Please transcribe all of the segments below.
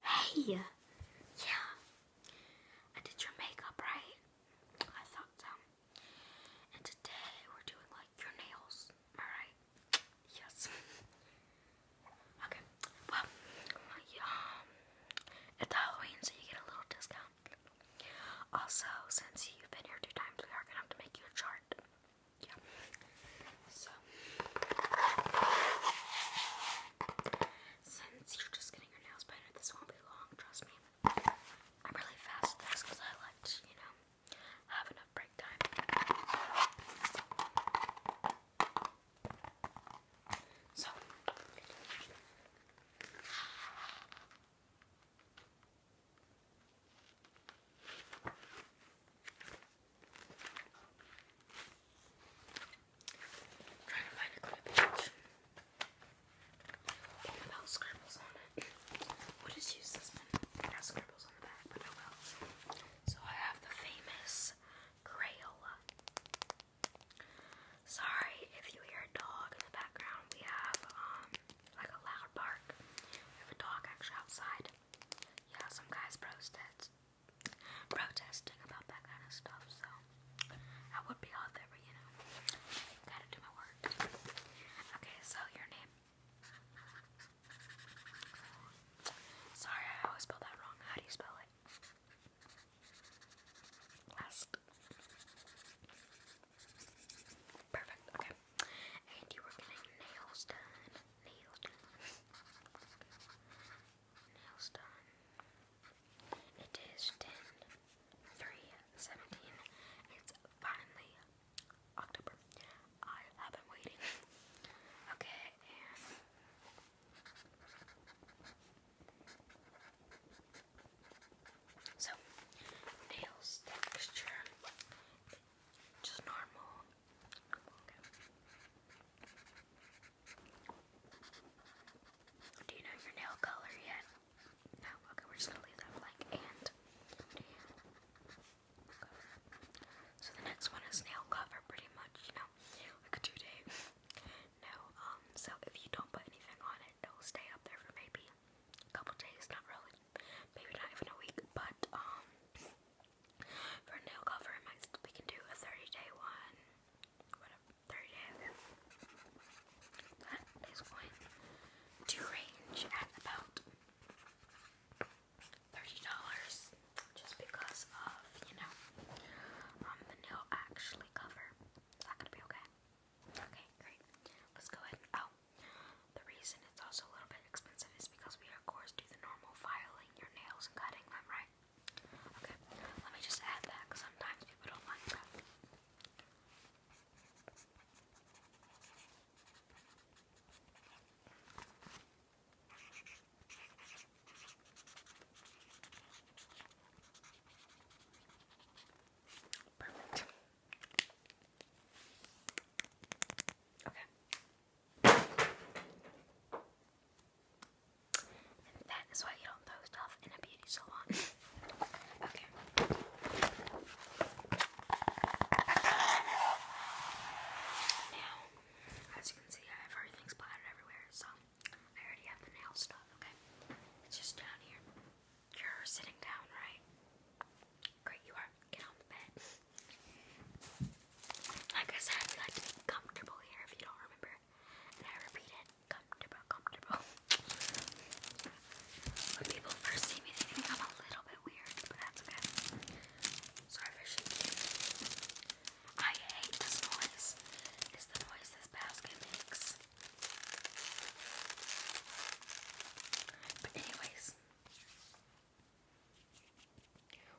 Hey! Yeah. I did your makeup, right? I thought And today we're doing like your nails. Alright? Yes. okay. Well, um, it's Halloween, so you get a little discount. Also, since you've been here two times, we are going to make you a chart. Yeah. So, since you're just getting your nails painted, this won't be long, trust me. I'm really fast at this I like you know, have enough break time. So, i trying to find a good page. What about on it? We'll just use this one. No scribbles on the back, but oh well. So I have the famous Crayola. Sorry if you hear a dog in the background. We have um like a loud bark. We have a dog actually outside. Yeah, some guys posted protesting about that kind of stuff, so I would be out there, but you know, gotta do my work. Okay, so your name. Sorry, I always spelled that wrong. How do you spell it? Last. Perfect, okay. And you were getting nails done nails done. Nails done. It is 10, 3, 17. It's finally October. I have been waiting. okay, so nails texture just normal do you know your nail color yet? No? Okay, we're just gonna leave that blank and So the next one is nail cover pretty much, you know, like a two-day. No, um, so if you don't put anything on it, it'll stay up there for maybe a couple days, not really, maybe not even a week, but um for nail cover, we can do a 30-day one. Whatever, 30-day, okay. That is going to range at about $30 just because of, you know, um, the nail actually cover. Is that gonna be okay? Okay, great. Let's go ahead. Oh, the reason it's also a little bit expensive is because we, of course, do the normal filing your nails and cutting them, right? Okay, let me just add that sometimes people don't like that. Perfect. Okay. that is why you don't throw stuff in a beauty salon. okay. Now, as you can see, I have everything splattered everywhere, so I already have the nail stuff, okay? It's just down here. You're sitting down, right? Great, you are. Get on the bed. Like I said, you like to be comfortable here if you don't remember. And I repeat it comfortable, comfortable. when people first see me, they think I'm a little bit weird, but that's okay. Sorry for shaking. I hate this noise. It's the noise basket makes. But anyways, this.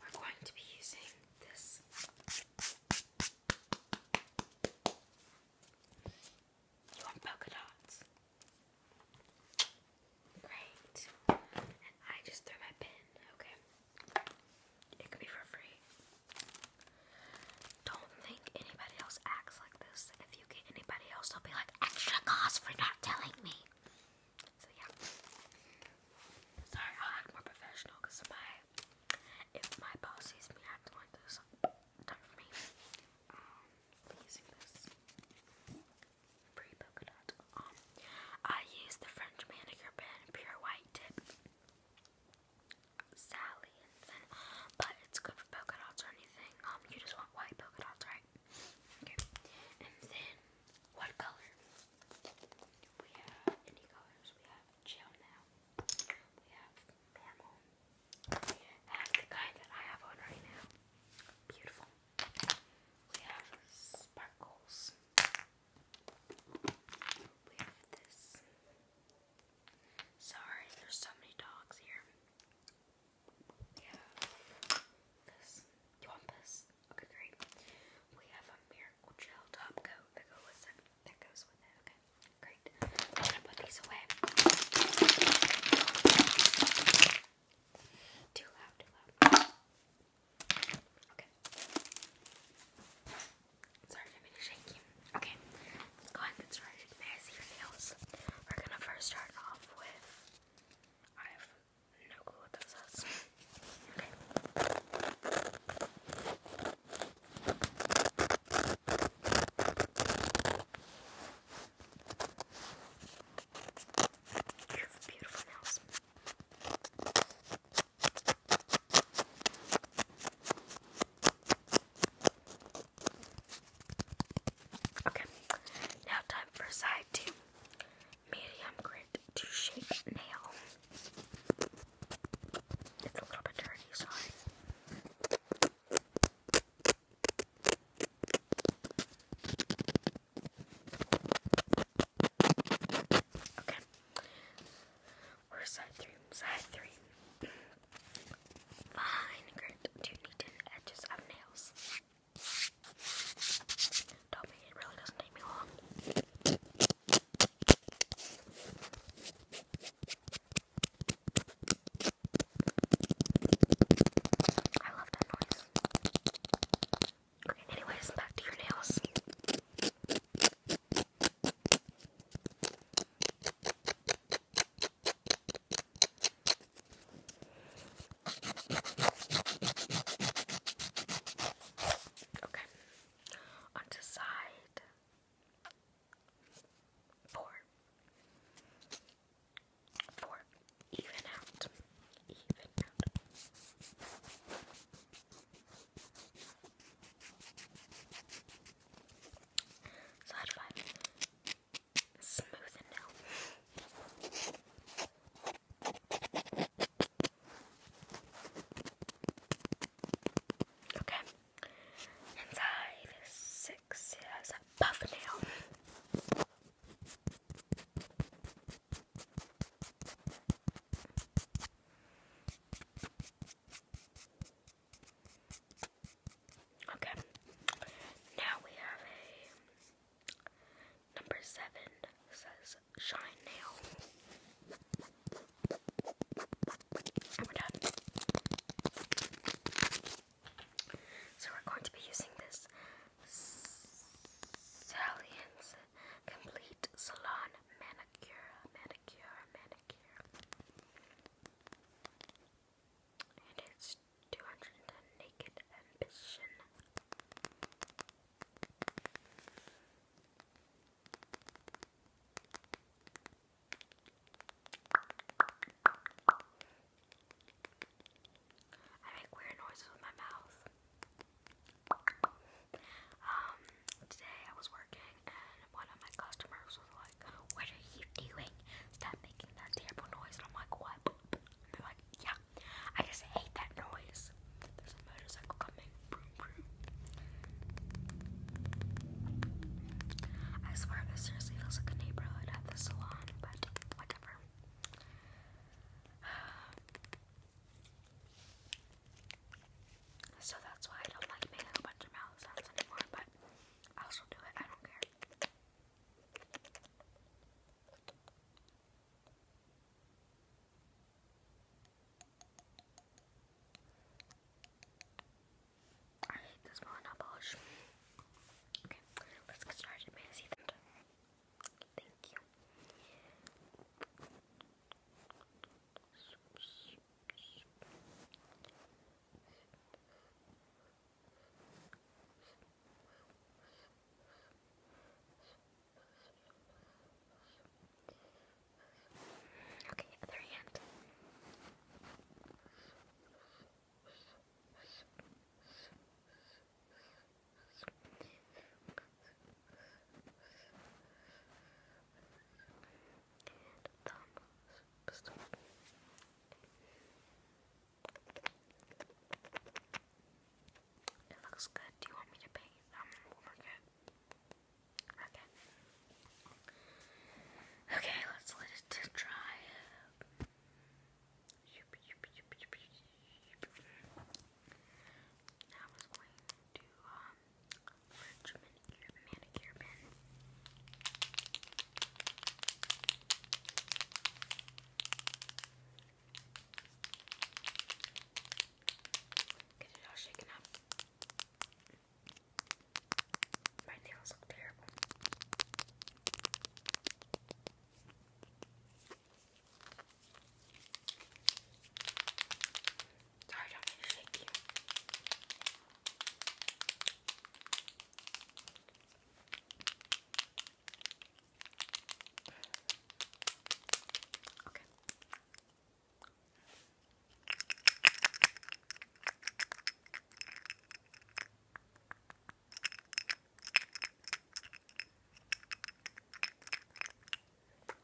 We're going to be using this. You want polka dots? Great. And I just threw my pin, okay? It could be for free. Don't think anybody else acts if you get anybody else, they'll be like, extra cost for not telling me. So, yeah. Sorry, I'll act more professional because if my boss sees me acting like this, done for me. Um, I use the French manicure pen, pure white tip. Sally but it's good for polka dots or anything. Um, you just want white polka dots, right? Okay. And then, what color? We have any colors. We have gel now. We have normal. We have the kind that I have on right now. Beautiful. We have sparkles. We have this. Sorry, there's so many dogs here. Yeah. This. this? Okay, great. We have a miracle gel top coat that goes with it. That goes with it. Okay, great. I'm gonna put these away. Too loud, too loud. Okay. Sorry, I'm gonna shake you. Okay, go ahead and get started. May your nails? We're gonna first start off with. I have no clue what that says. Okay. You have beautiful nails. Okay, now time for side two. Medium grit to shape nail. It's a little bit dirty, sorry. Okay or side three, side three. fine curved to neaten edges of nails. do me, it really doesn't take me long. I love that noise. Okay, anyways, back to your nails. Okay. On side four. Four. Even out. Even out. Side five. Smooth and now. Okay. Inside six is a buff nail. Okay. Now we have a number seven says shine nail. And we're done. So we're going to be using this Salience Complete Salon Manicure. Manicure pedicure or manicure. And it's 210 Naked Ambition. I make weird noises with my mouth. Um, today I was working and one of my customers was like, What are you doing? Stop making that terrible noise. And I'm like, What? And they're like, Yeah, I just hate that noise. There's a motorcycle coming. Broom, broom. I swear this seriously feels like a neighborhood at the salon, but whatever. Uh, so that's why I don't like making a bunch of mouth sounds anymore, but I'll still do it, I don't care. I hate this one, Okay, let's get started. Thank you. Okay, other hand. Okay. It looks good. Do you want me to paint um market? Okay. Okay, let's let it dry. I was going to um merge manicure manicure bin. Get it all shaken up. My nails look terrible. Sorry, don't mean you. Okay.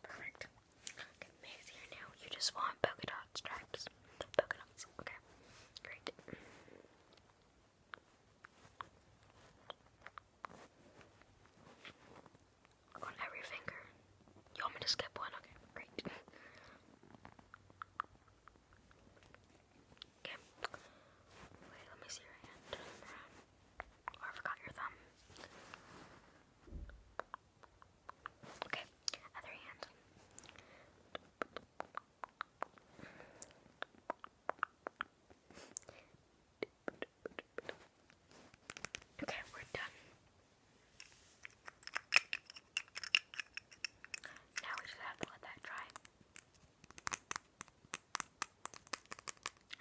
Perfect. Okay, Maisie, I know you just want polka dot stripes. Polka dots. Okay. Great. On every finger. You want me to skip one? Okay, great. Okay. Wait, let me see your hand. Oh, I forgot your thumb. Okay, other hand. Okay, we're done. Now we just have to let that dry.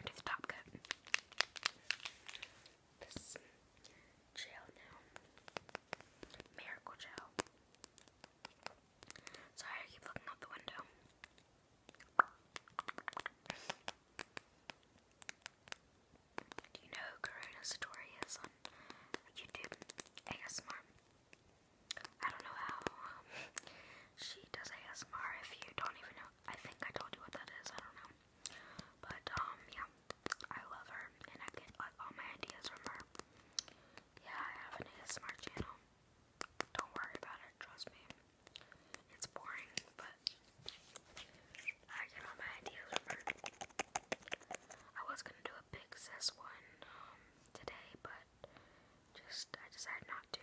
It is a top coat. This gel now. Miracle gel. Sorry, I keep looking out the window. Do you know who story is on YouTube? ASMR. I don't know how. she does ASMR if you don't even know. I think I told you what that is. I don't know. But, um, yeah. I love her. And I get, all my ideas from her. Yeah, I have an ASMR channel. Don't worry about it. Trust me. It's boring, but I get all my ideas from her. I was gonna do a big sis one, um, today, but just I decided not to.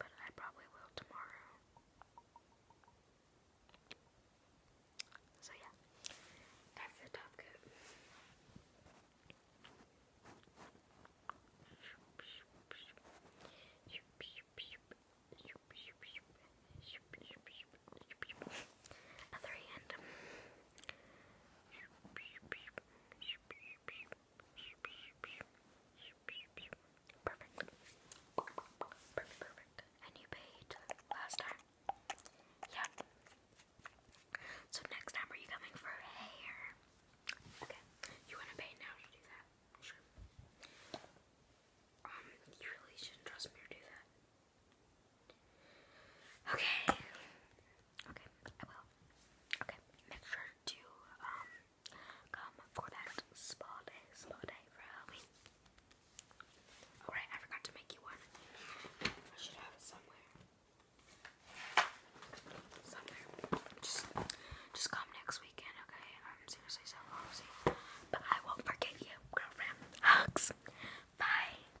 But I probably will tomorrow. So yeah, that's the top coat. Other Perfect. Perfect, perfect. And you paid last time? Yeah. So next time are you coming for hair? Okay. You wanna pay now to do that? Sure. Um, you really shouldn't trust me to do that. Okay. Okay, I will. Okay, make sure to um come for that spa day, spa day for Halloween. Alright, I forgot to make you one. I should have it somewhere. Somewhere. Just just come next weekend, okay? I'm um, seriously so lousy. But I won't forget you, girlfriend. Hugs. Bye.